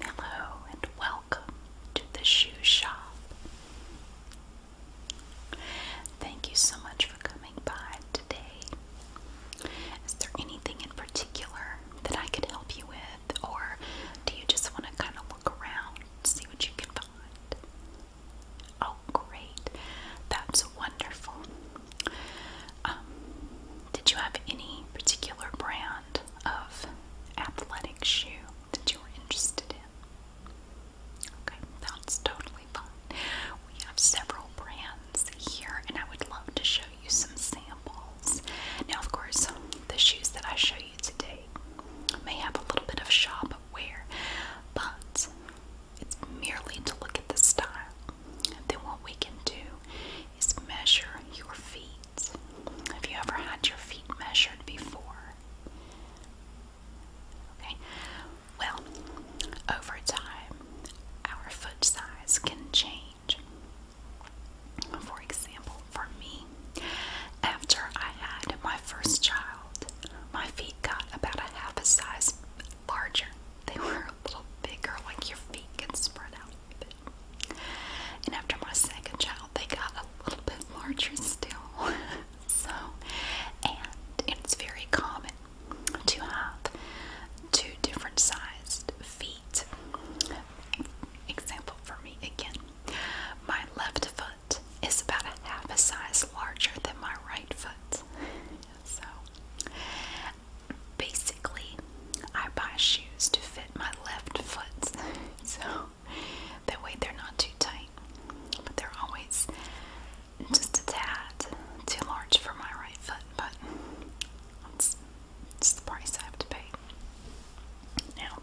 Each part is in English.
Hello and welcome to the shoe shop. Thank you so much for coming by today. Is there anything in particular that I could help you with, or do you just want to kind of look around, see what you can find? Oh, great. That's wonderful. Um, did you have any particular brand of athletic shoe that you're interested in. Okay, that's totally fine. We have several brands here, and I would love to show you some samples. Now, of course, the shoes that I show you today may have a little bit of shop wear, but it's merely to look at the style. And then what we can do is measure your feet have you ever had your feet measured before? Okay, well, over time, our foot size can change. For example, for me, after I had my first child, my feet got about a half a size larger. They were a little bigger, like your feet can spread out a bit. And after my second child, they got a little bit larger still. so, and it's very common to have two different sized feet. Example for me again. My left foot is about a half a size larger than my right foot. So basically, I buy shoes to my left foot, so that way they're not too tight. But they're always just a tad too large for my right foot, but it's the price I have to pay. Now,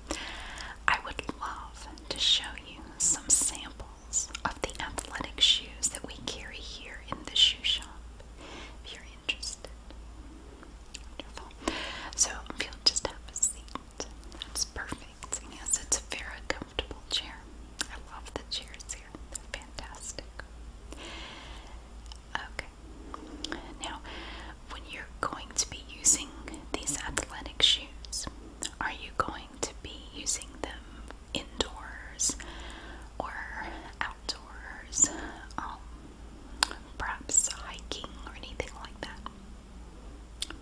I would love to show you some samples of the athletic shoes that we carry here in the shoe shop if you're interested. So if just have a seat, that's perfect. yes, it's a very comfortable chair. I love the chairs here. They're fantastic. Okay. Now, when you're going to be using these athletic shoes, are you going to be using them indoors or outdoors? Um, perhaps hiking or anything like that.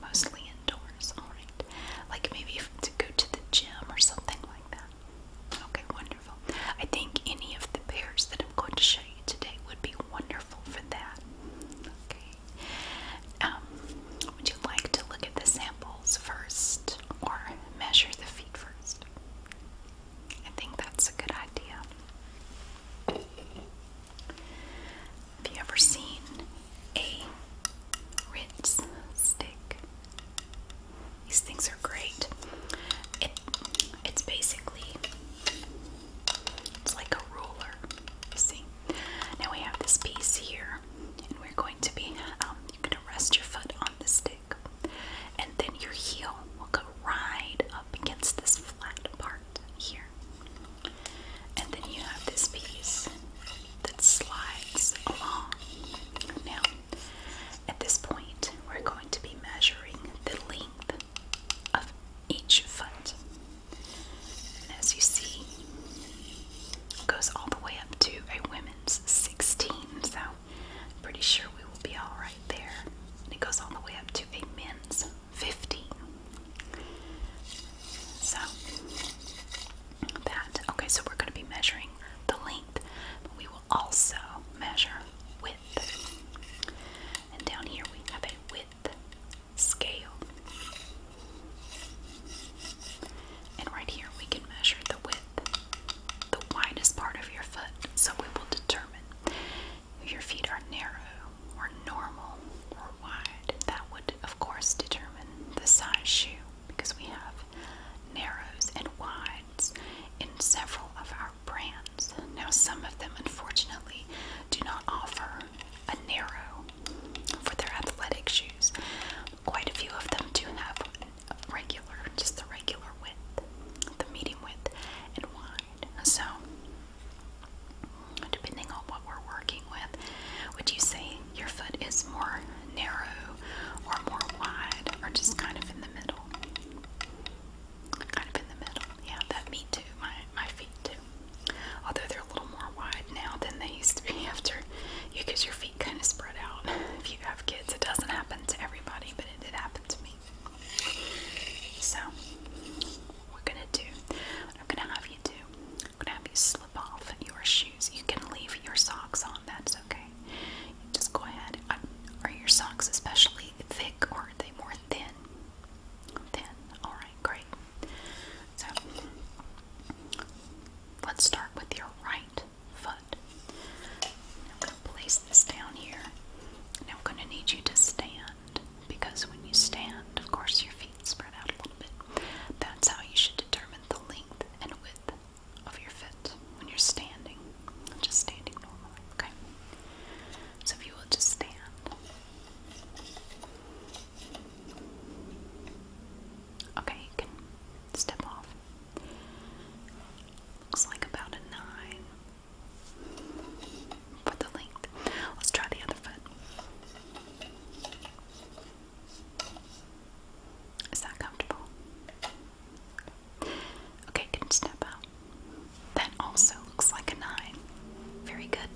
Mostly indoors, alright. Like maybe to go to the gym or something like that. Okay, wonderful. I think any of the pairs that I'm going to show you today would be wonderful for that. Okay. Um, would you like to look at the samples first or measure the feet first? I think that's a good idea. Have you ever seen a Ritz stick? These things are great. It it's basically it's like a ruler. Now we have this piece here, and we're going to be um, you're gonna rest your foot on the stick, and then your heel will go right up against this flat part here. And then you have this piece that slides along. Now, at this point, we're going to be measuring the length of each foot. And as you see, it goes all the way up to a women's 16. So, I'm pretty sure we will be all right there. And it goes all the way up to a men's Fifty. So that okay, so we're going to be measuring the length, but we will also measure width. And down here we have a width scale. And right here we can measure the width, the widest part of your foot. So we will determine your feet are narrow or normal or wide. That would, of course, determine the size shoe because we have narrows and wides in several of our brands. Now, some of them, unfortunately, do not offer a narrow for their athletic shoes. Quite a few of them do have regular, just the regular width, the medium width, and wide. So, depending on what we're working with. Would you say your foot is more narrow or more wide or just kind of in the middle? Kind of in the middle. Yeah, that me too. My my feet too. Although they're a little more wide now than they used to be after you cause your feet kind of spread out. If you have kids, it doesn't happen to everybody, but it did happen to me. So, we're gonna do what I'm gonna have you do. I'm gonna have you slip off your shoes. You can leave your socks on, that's okay. just go ahead. Uh, are your socks especially thick or are they more thin? Thin. Alright, great. So, let's start with your right foot. I'm going to place this down here. Now I'm going to need you to stand because when you stand, of course, your feet spread out a little bit. That's how you should determine the length and width of your foot when you're standing, just standing normally, okay? So if you will just stand. Okay, you can step off. Looks like about a nine for the length. Let's try the other foot. Is that comfortable? Okay, can step out. That also looks like a nine. Very good.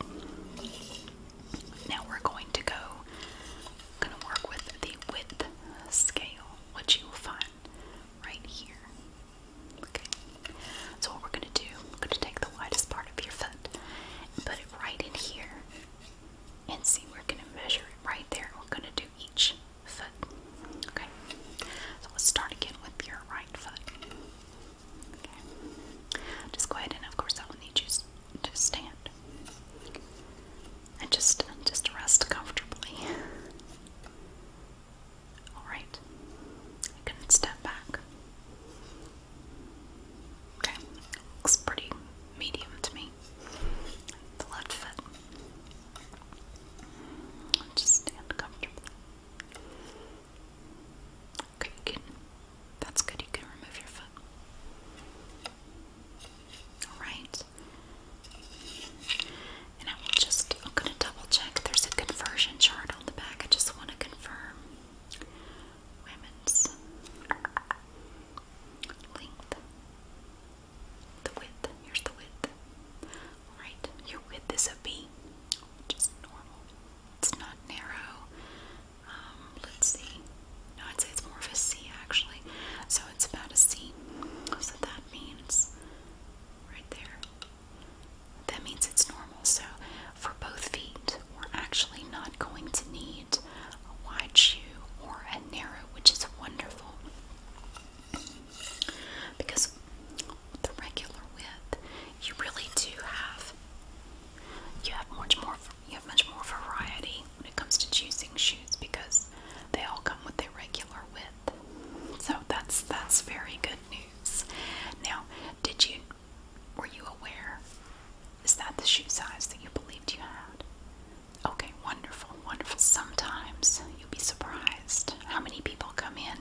Now we're going to go. going to work with the width scale, which you find right here. Okay. So what we're gonna do, we're gonna take the widest part of your foot and put it right in here. And see, we're gonna measure it right there. We're gonna do each foot. Okay. So we'll start again with your right foot. Okay. Just go ahead and of course I will need you to stand. And just just rest comfortably. Alright. I can step back. Okay. Looks pretty medium to me. The left foot. I'll just stand comfortably. Okay, you that's good, you can remove your foot. Alright. And I will just I'm gonna double check there's a conversion chart down the back. I just want to confirm women's length. The width. Here's the width. Alright, your width is a B, which normal. It's not narrow. Um, let's see. No, I'd say it's more of a C actually. So it's about a C. So that means right there. That means it's normal. So for both feet, we're actually not going to need a wide shoe or a narrow, which is wonderful. Because the regular width, you really do have you have much more you have much more variety when it comes to choosing shoes because they all come with a regular width. So that's that's very good news. Now, did you were you aware? Is that the shoe size that you believed you had? Okay, wonderful, wonderful. Sometimes you'll be surprised how many people come in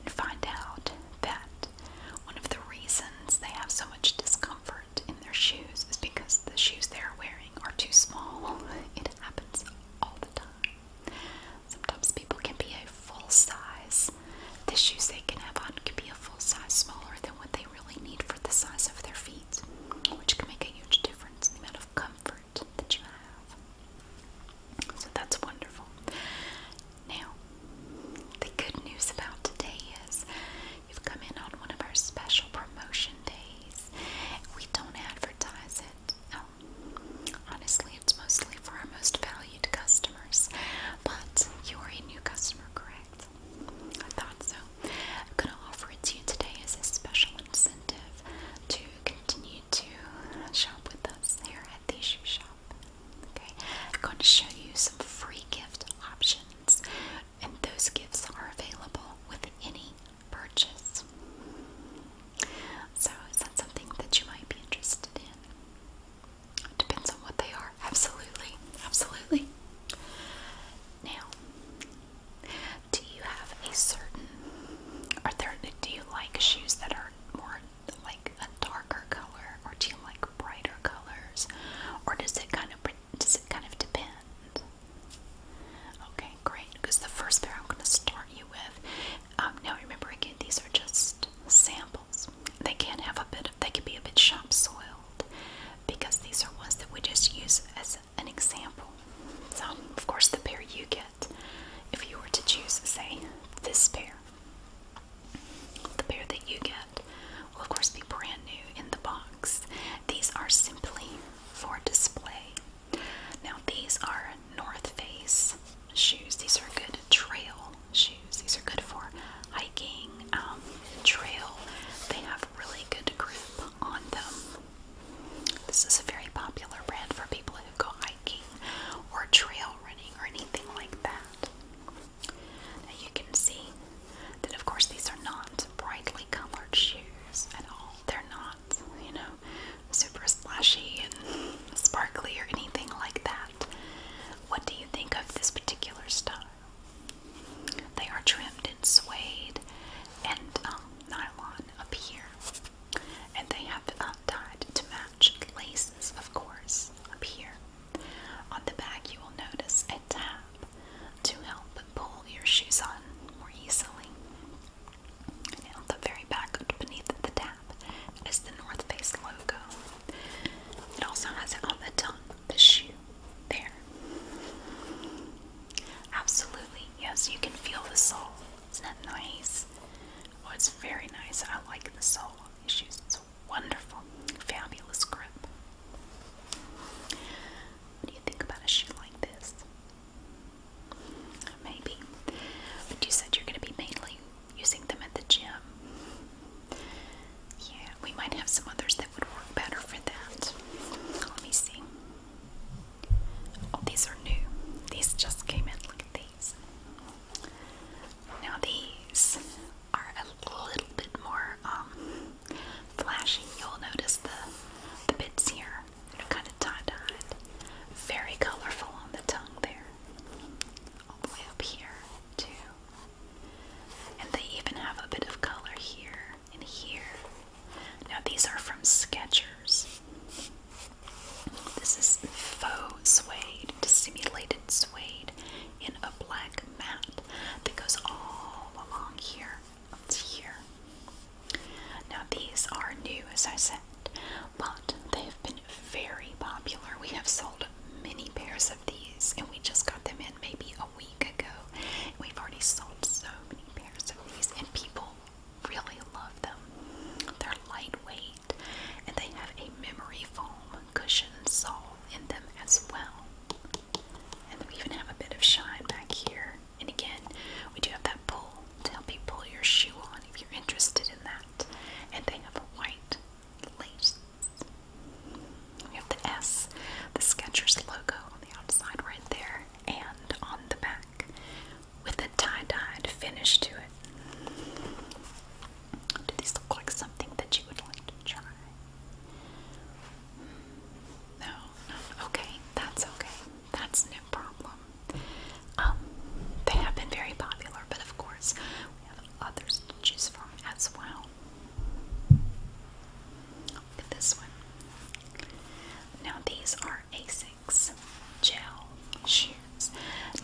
and find out that one of the reasons they have so much discomfort in their shoes is because the shoes they're wearing are too small. It happens all the time. Sometimes people can be a full size. The shoes they can have on can be a full size smaller than what they really need for the size of their feet, which can make a huge difference in the amount of comfort that you have. So that's wonderful. Now, the good news about today is you've come in on one of our special promotion days. We don't advertise it. Honestly, it's mostly for our most valued customers. But you are a new customer, correct? I thought so. I'm going to offer it to you today as a special incentive to continue to shop with us here at the shoe shop. Okay, I'm going to show you some free gift options, and those gifts are available with any purchase. So, is that something that you might be interested in? depends on what they are. Absolutely. Absolutely. Now, do you have a certain, are there, do you like shoes that are more like a darker color or do you like brighter colors or does it kind of, does it kind of depend? Okay, great. Because the first pair I'm going to start you with um, now remember again, these are just samples. They can have a bit. Of, they can be a bit shop soiled because these are ones that we just use as an example. So of course, the pair you get, if you were to choose, say this pair, the pair that you get will of course be brand new in the box. These are simply for display. Now these are North Face shoes. These are good trail shoes. These are good for hiking, um, trail. They have really good grip on them. This is a very popular brand for people who go hiking or trail running or anything like that. you can see that, of course, these are not brightly colored shoes at all. They're not, you know, super splashy and sparkly or anything like that. What do you think of this particular style? They are trimmed in suede and um, nylon up here, and they have uh, tied to match laces, of course, up here. On the back, you will notice a tab to help pull your shoes on more easily. And on the very back, beneath the tab, it's the North Face logo. It also has it on the tongue, the shoe, there. Absolutely, yes, you can feel the sole. Isn't that nice? Oh, it's very nice. I like the sole on these shoes. It's wonderful, fabulous grip. What do you think about a shoe like this? Maybe. But you said you're going to be mainly using them at the gym. Yeah, we might have some others that would work better for that. Let me see. Oh, these are new. These just came in. Look at these. Now these are a little bit more um, flashing. You'll notice the the bits here. kind of tie Very colorful on the tongue there all the way up here too. And they even have a bit of color here and here. Now these are from Skechers. This is faux suede, simulated suede in a black mat that goes all along here up to here. Now these are new, as I said but they've been very popular. We have sold many pairs of these, and we just got them in maybe a week ago. We've already sold so many pairs of these, and people really love them. They're lightweight, and they have a memory foam cushion sole in them as well. And we even have a bit of shine back here. And again, we do have that pull to help you pull your shoe on if if are interested in that. And they have a white lace. We have the S, the Skechers logo on the outside right there, and on the back with a tie dye finish to it. these look like something that you would like to try? No, okay, that's okay. That's no problem. Um, they have been very popular, but of course, others to choose from as well. this one. Now these are Asics gel shoes.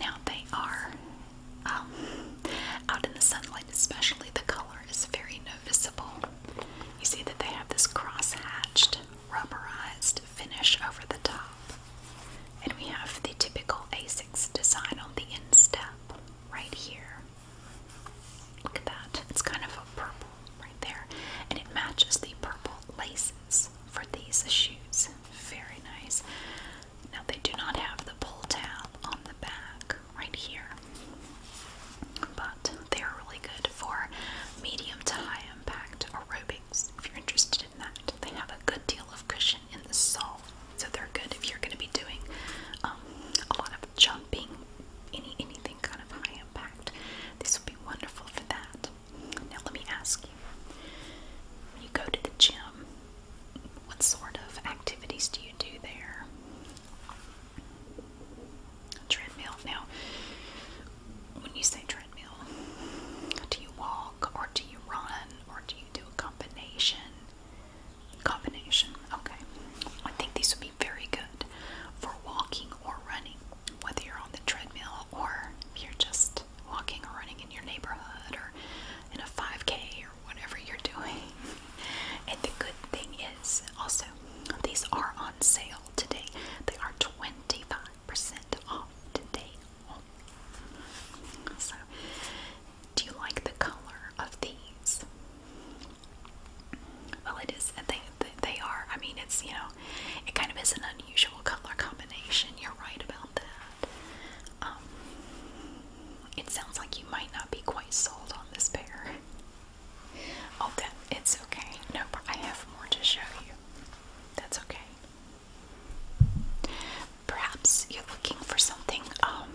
Now they are um, out in the sunlight, especially the color is very noticeable. You see that they have this cross-hatched, rubberized finish over the top. And we have the typical ASICS design on the instep right here. Look at that. It's kind of a purple right there. And it matches the purple laces for these shoes. Very nice. Now they do not have the pull tab on the back right here. But they are really good for medium to high impact aerobics. If you're interested they have a good deal of cushion in the sole, so they're good if you're going to be doing um, a lot of jumping, any anything kind of high impact. This will be wonderful for that. Now let me ask you: when you go to the gym, what sort of activities do you do there? Treadmill. Now, when you say treadmill, do you walk or do you run or do you do a combination? Combination, okay. I think these would be very good for walking or running, whether you're on the treadmill or you're just walking or running in your neighborhood or in a 5K or whatever you're doing. And the good thing is also, these are on sale today. They are 25% off today so, do you like the color of these? Well, it is. They they are. I mean, it's you know, it kind of is an unusual color combination. You're right about that. Um, it sounds like you might not be quite sold on this pair. Oh, that it's okay. No, I have more to show you. That's okay. Perhaps you're looking for something um,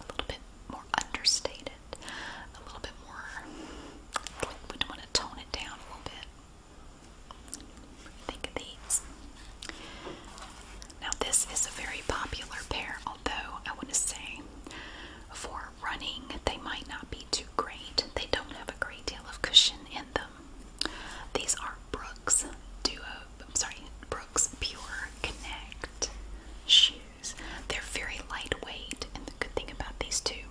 a little bit more understated, a little bit more, like we want to tone it down a little bit. Think of these. Now, this is a very popular pair, although I want to say for running, they might not be too great. They don't have a great deal of cushion in them these are Brooks Duo, I'm sorry, Brooks Pure Connect shoes. They're very lightweight, and the good thing about these two,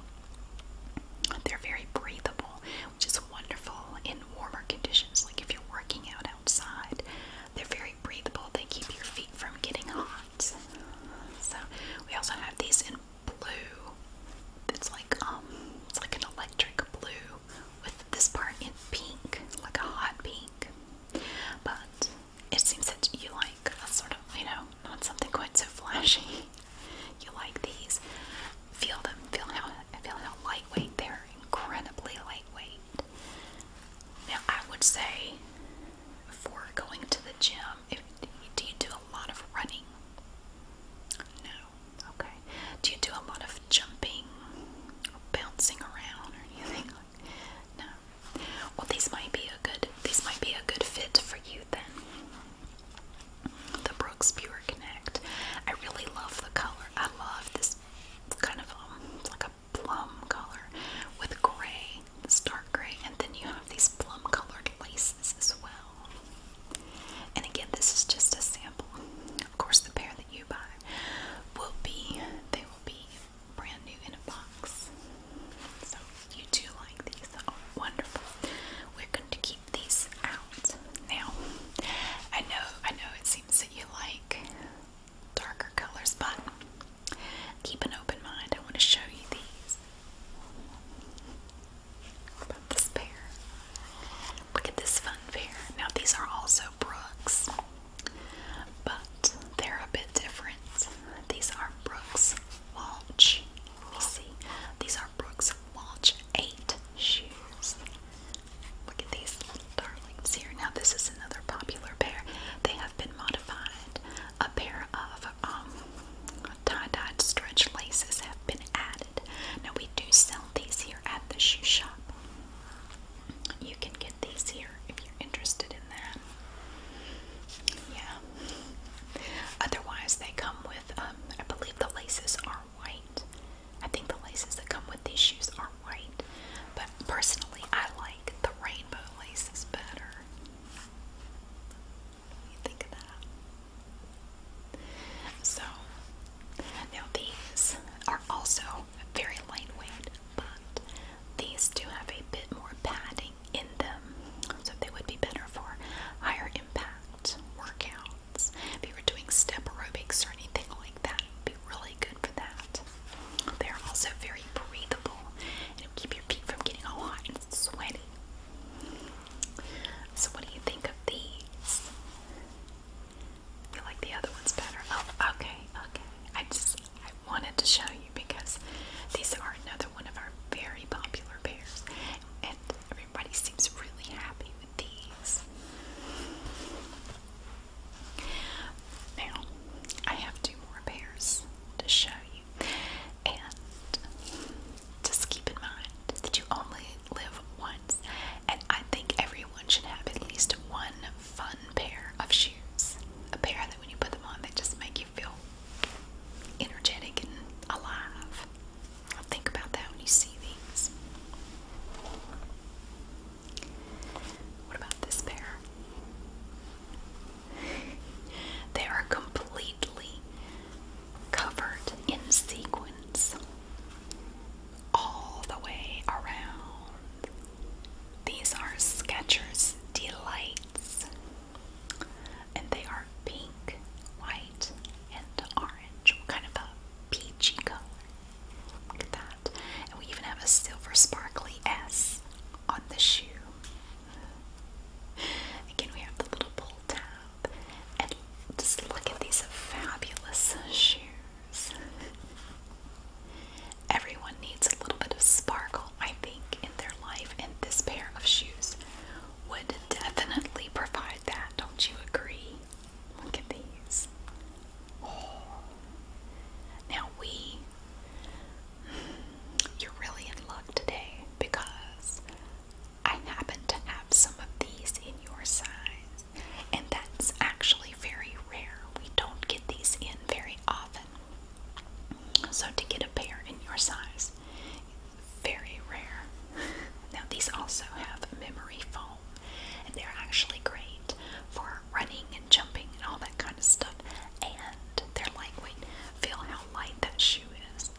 they're very breathable, which is wonderful in warmer conditions. Like if you're working out outside, they're very breathable. They keep your feet from getting hot. So we also have these in blue. It's like um, it's like an electric blue with this part in pink, like a hot pink. But it seems that you like a sort of, you know, not something quite so flashy. you like these. Feel them. Feel how feel how lightweight they're. Incredibly lightweight. Now I would say, for going to the gym, if, do you do a lot of running? No, Okay. Do you do a lot of jumping or bouncing around or anything? No. Well, these might be a good these might be a good fit for you then. The Brooks Pure Connect. I really love the color. I love this kind of um, like a plum color with gray, this dark gray, and then you have these plum colored laces as well. And again, this is just a sample. Of course, the pair that you buy will be, they will be brand new in a box. So you do like these. are wonderful. We're going to keep these out. Now, I know, I know it seems that you like darker colors, but keep an open mind. I want to show you these. About this pair. Look at this fun fair. Now, these are also Brooks, but they're a bit different. These are Brooks Walsh. Let me see. These are Brooks Walsh 8 shoes. Look at these little darlings here. Now, this is another popular pair. They have been modified. A pair of um, tie dye stretch laces have been added. Now, we do sell these here at the shoe shop. You can get these here if you're interested in that. Yeah. Otherwise, they come with, um, I believe the laces are white. I think the laces that come with these shoes are white. But personally, I like the rainbow laces better. think of that? So, now these are also very lightweight, but these do have a bit more padding in them, so they would be better for higher impact workouts. If you were doing step aerobics or anything like that, would be really good for that. They're also very breathable and it'll keep your feet from getting all hot and sweaty. So, what do you think of these? You like the other ones better? Oh, okay, okay. I just I wanted to show you because these are another one of our very popular pairs, and everybody seems really happy with these. Now, I have two more pairs to show you, and just keep in mind that you only live once, and I think everyone should have at least one fun pair of shoes. A pair that when you put them on, they just make you feel energetic and alive. I'll think about that when you see these. What about this pair? they are completely covered in sequins all the way around. These are Skechers Delights, and they are pink, white, and orange. Kind of a peachy color. Look at that. And we even have a silver sparkly S on the shoe. Again, we have the little pull tab. And just look at these fabulous shoes. Everyone needs a little bit of sparkle, I think, in their life, and this pair of shoes would definitely provide that. Don't you agree? Look at these. Oh. Now we, you're really in luck today because I happen to have some of these in your size. And that's actually very rare. We don't get these in very often. So to get a pair in your size, very rare. Now these also have memory foam and they're actually great for running and jumping and all that kind of stuff. And they're lightweight. Feel how light that shoe is.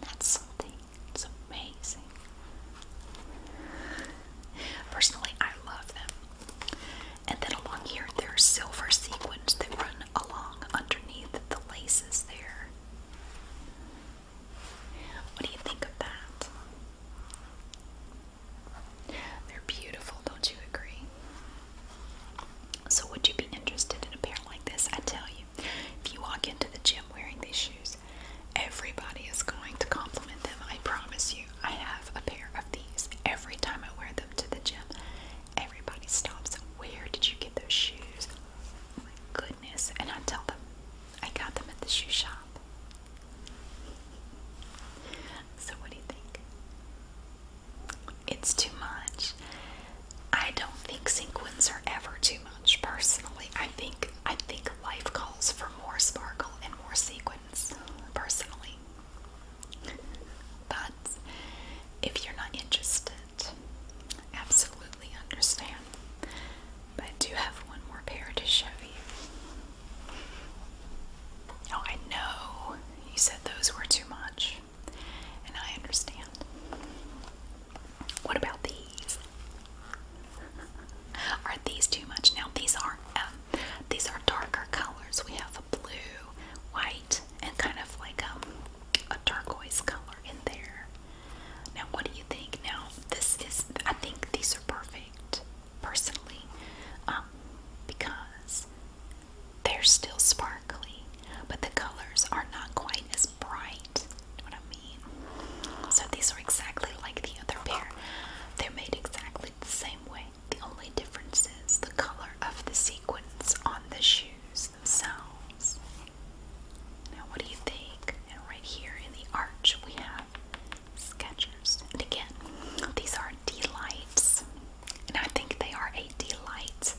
That's something. It's amazing. Personally, I love them. And then along here, there are silver sequins that run along underneath the laces there. What do you think of that? They're beautiful, don't you agree? So, would you be interested in a pair like this? I tell you, if you walk into the gym wearing these shoes, Everybody is going to compliment them. I promise you. I have a pair of these every time I wear them to the gym. Everybody stops. Where did you get those shoes? Oh my goodness. And I tell them, I got them at the shoe shop. So, what do you think? It's too much. I don't think sequins are ever too much, personally. I think I think life calls for more sparkle and more sequins, personally. But if you're not interested, absolutely understand. But I do have one more pair to show you. Oh, I know you said those were too much, and I understand. What about these? are these too much? Now these are um, these are darker colors. We have a blue, white, and kind of like um, a turquoise color in there. Now what do you think? Now this is I think these are perfect personally um, because they're still sparkly, but the colors are not quite as bright. what I'm so these are exactly like the other pair. They're made exactly the same way. The only difference is the color of the sequins on the shoes themselves. Now, what do you think? And right here in the arch, we have sketches. And again, these are delights, and I think they are a delight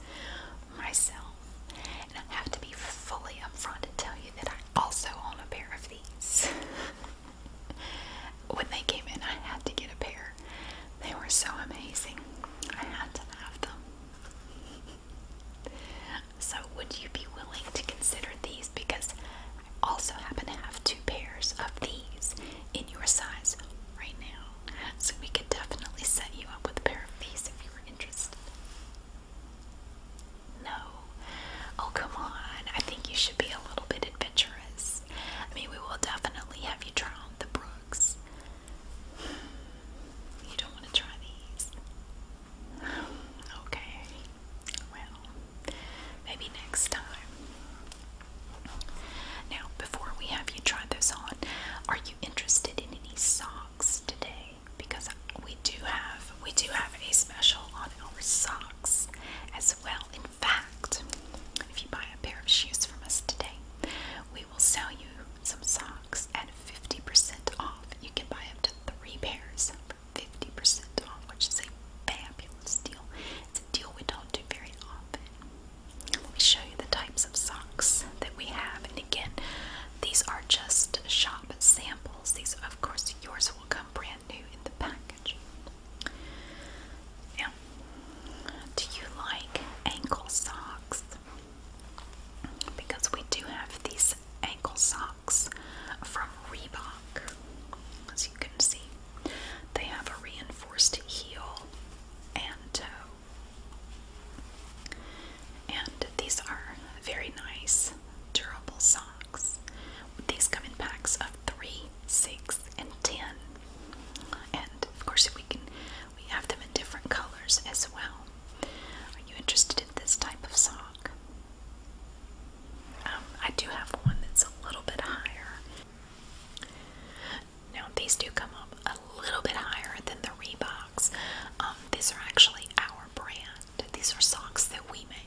myself. And I have to be fully upfront and tell you that I also on a pair of these. when they came in, I had to get a pair. They were so amazing. I had to have them. so, would you be willing to consider these? Because I also happen to have two pairs of these in your size right now. So, we could definitely set you up with a pair of these if you were interested. No. Oh, come on. I think you should be a little bit adventurous. I mean, we will definitely have you try on the brooks. You don't want to try these. Okay. Well, maybe next time. Now, before we have you try those on, are you interested in any socks today? because we do have we do have a special on our socks as well. In fact, if you buy a pair of shoes from us today, we will sell you some socks at 50% off. You can buy up to three pairs for 50% off, which is a fabulous deal. It's a deal we don't do very often. Let me show you the types of socks that we have. And again, these are just shop samples. These, of course, yours will come brand new in the package. Now, do you like ankle socks? Because we do have these ankle socks from Reebok. As you can see, they have a reinforced heel and toe. And these are very nice, durable socks. These come in packs of three, six, and ten. And of course, we can we have them in different colors as well. Are you interested in this type of sock? Um, I do have one that's a little bit higher. Now these do come up a little bit higher than the Reeboks. Um, these are actually our brand. These are socks that we make.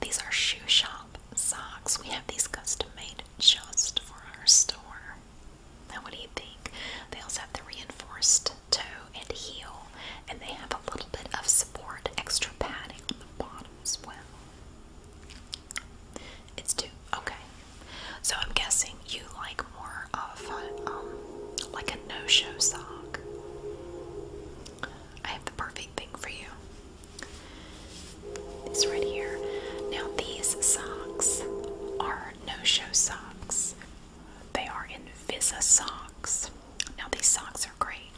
These are shoe shop socks. We have these custom made just for our store. Now, what do you think? They also have the reinforced toe and heel, and they have a little bit of support, extra padding on the bottom as well. It's two. Okay. So I'm guessing you like more of um, like a no-show sock. I have the perfect thing for you. These right here. Now, these socks are no show socks, they are Invisa socks. Now, these socks are great.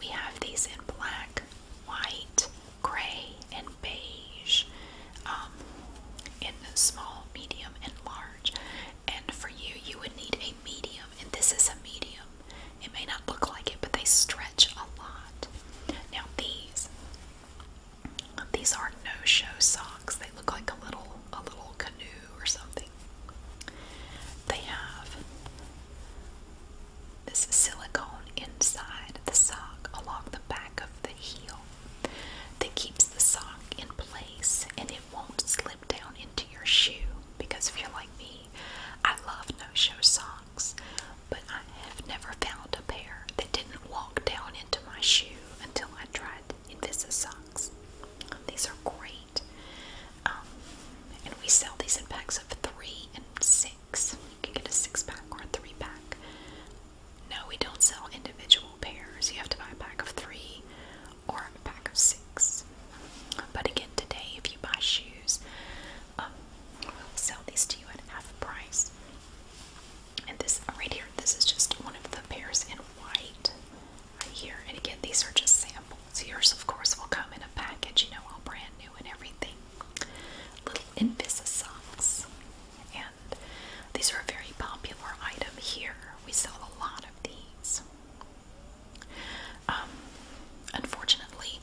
We have these in black, white, gray, and beige, um, in small, medium, and large. And for you, you would need a medium and this is a medium. It may not look like it, but they stretch a lot. Now these, these are no-show socks. They look like a little, a little canoe or something. They have this silicone inside the sock along the back of the heel that keeps the sock in place and it won't slip down in into your shoe because if you're like me, I love no show socks, but I have never found a pair that didn't walk down into my shoe until I tried Invisa socks. These are great. Um, and we sell these in packs of three and six. You can get a six pack or a three pack. No, we don't sell individual pairs. You have to buy a pack of three or a pack of six shoes. But again, today, if you buy shoes, um, we'll sell these to you at half price. And this uh, right here, this is just one of the pairs in white right here. And again, these are just samples. Yours, of course, will come in a package, you know, all brand new and everything. Little Invisa socks. And these are a very popular item here. We sell a lot of these. Um, unfortunately,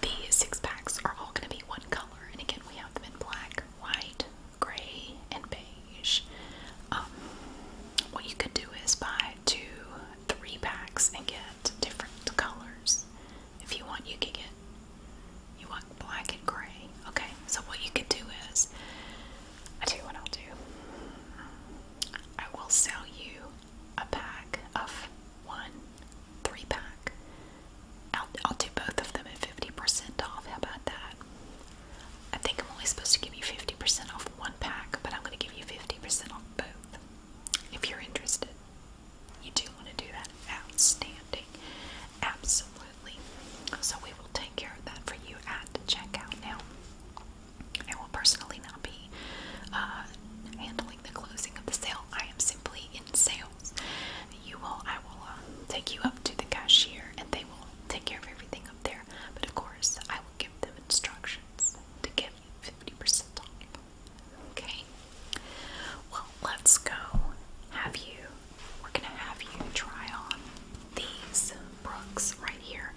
the six packs are all going to be one color, and again, we have them in black, white, gray, and beige. Um, what you could do is buy two, three packs and get different colors. If you want, you can get you want black and gray. Okay, so what you could do is I tell you what I'll do. I will sell you a pack of one, three pack. I'll, do both of them at 50% off. How about that? I think I'm only supposed to give you 50% off one pack, but I'm going to give you 50% off both if you're interested. You do want to do that. Outstanding. Absolutely. So we will take care of that for you at checkout now. I will personally not be uh, handling the closing of the sale. I am simply in sales. You will, I will uh, take you up to the cashier, and they will take care of everything up there. But of course, I will give them instructions to give you 50% off. Okay. Well, let's go. Have you? We're gonna have you try on these Brooks right here.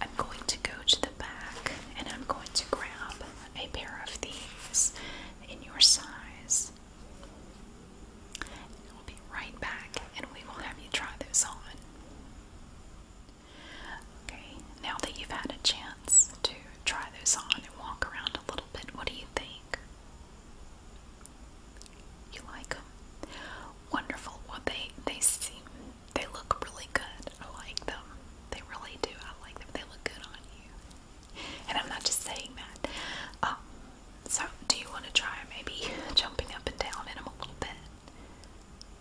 I'm going to go to the back and I'm going to grab a pair of these in your size. And we'll be right back and we will have you try those on. Okay, now that you've had a chance to try those on and walk around a little bit, what do you think? You like them? Wonderful. Well, they, they seem they look really good. I like them. They really do. I like them. They look good on you. And I'm not just saying that. Um, so, do you want to try maybe jumping up and down in them a little bit?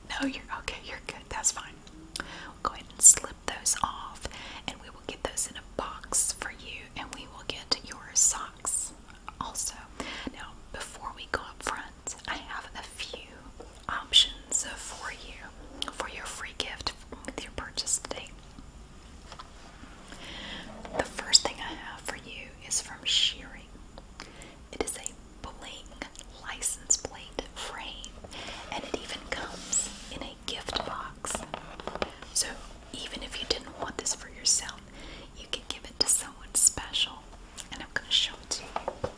No, you're okay. You're good. That's fine. We'll go ahead and slip those off, and we will get those in a box for you, and we will get your socks also. Now, before we go up front, I have a few options for you for your free gift with your purchase today. The first thing I have for you is from Shearing. It is a bling license plate frame, and it even comes in a gift box. So even if you didn't want this for yourself, you can give it to someone special, and I'm going to show it to you.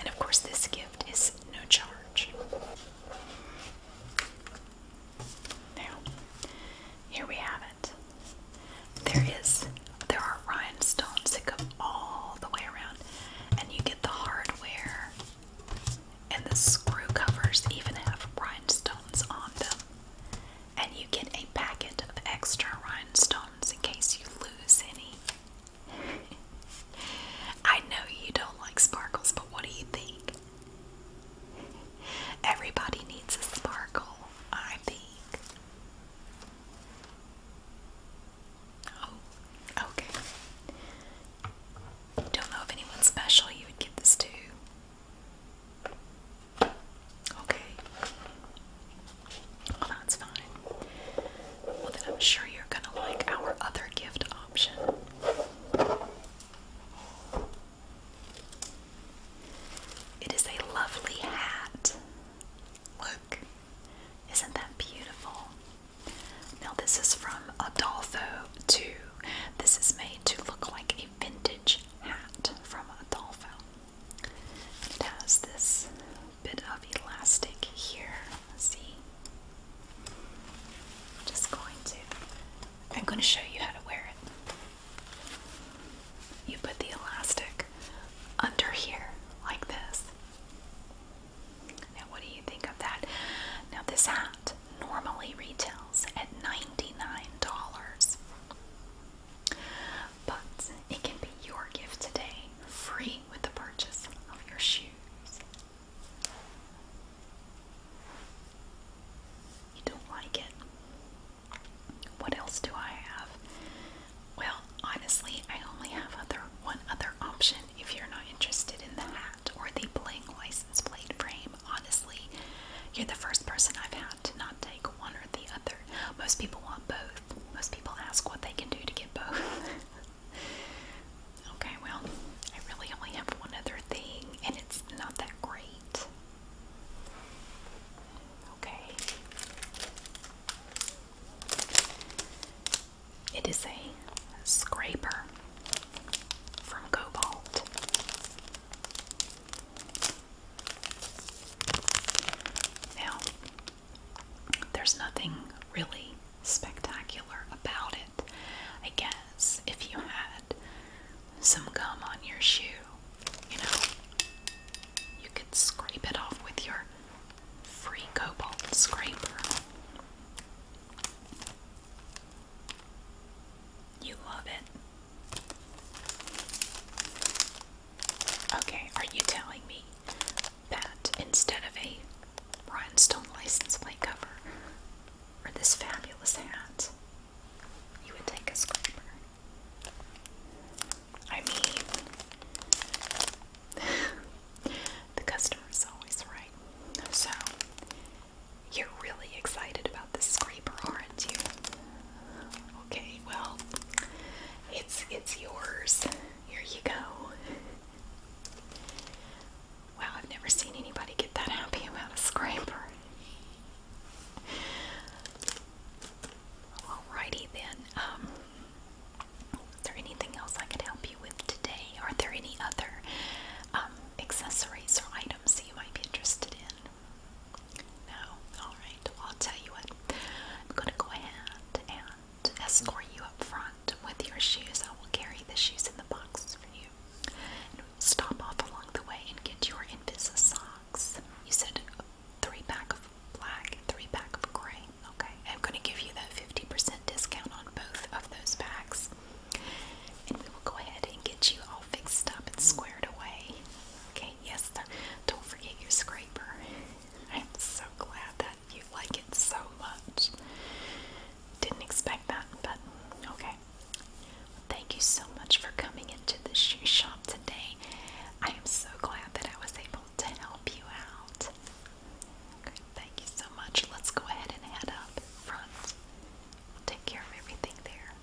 And of course, this gift is no charge. Now, here we have it. There is there are rhinestones that go all the way around, and you get the hardware and the screw covers even have rhinestones on them. And you get a packet of extra rhinestones in case you lose any. I know you don't like sparkles, but what do you think? Everybody needs a sparkle, I think. Oh, okay. Don't know if anyone special you would get this to. Okay. that's fine. Well, then I'm sure you're gonna like our other gift option. It is a lovely hat. Look, isn't that beautiful? Now, this is from Adolfo, too. This is made to look like a vintage hat from Adolfo. It has this bit of elastic here See? I'm just going to. I'm going to show you how to wear it. You put the elastic under here, like this. Now, what do you think of that? Now, this hat normally retails at $99, but it can be your gift today, free with the purchase of your shoe. You don't like it. What else do I have? Well, honestly, I only have other one other option if you're not interested in the hat or the bling license plate frame. Honestly, you're the first person I've had to not take one or the other. Most people want both. Most people ask what they can do to get both. Okay, well, I really only have one other thing, and it's not that great. Okay. It is a scraper from Cobalt. Now, there's nothing really spectacular about it. I guess if you had some gum on your shoe, you know, you could scrape it off with your free cobalt scraper. You love it. Okay, are you telling me that instead of a rhinestone license plate cover or this fabulous hat, you would take a scraper. I mean, the customer is always right. So, you're really excited about this scraper, aren't you? Okay, well, it's it's yours. Here you go. Wow, I've never seen anybody get that happy about a scraper. Alrighty then. Um, is there anything else I could help you with today? Are there any other um, accessories or items that you might be interested in? No? Alright, well, I'll tell you what. I'm going to go ahead and to escort you up front. With your shoes, I will carry the shoes in the box for you. we will stop off along the way and get your Invisa socks. You said three pack of black three pack of gray. Okay, I'm going to give you that 50% discount on both of those packs. And we will go ahead and get you all fixed up and squared away. Okay, yes, Don't forget your scraper. I'm so glad that you like it so much. Didn't expect that, but okay. Thank you so much for coming into the shoe shop today. I am so glad that I was able to help you out. Okay, thank you so much. Let's go ahead and head up front. Take care of everything there.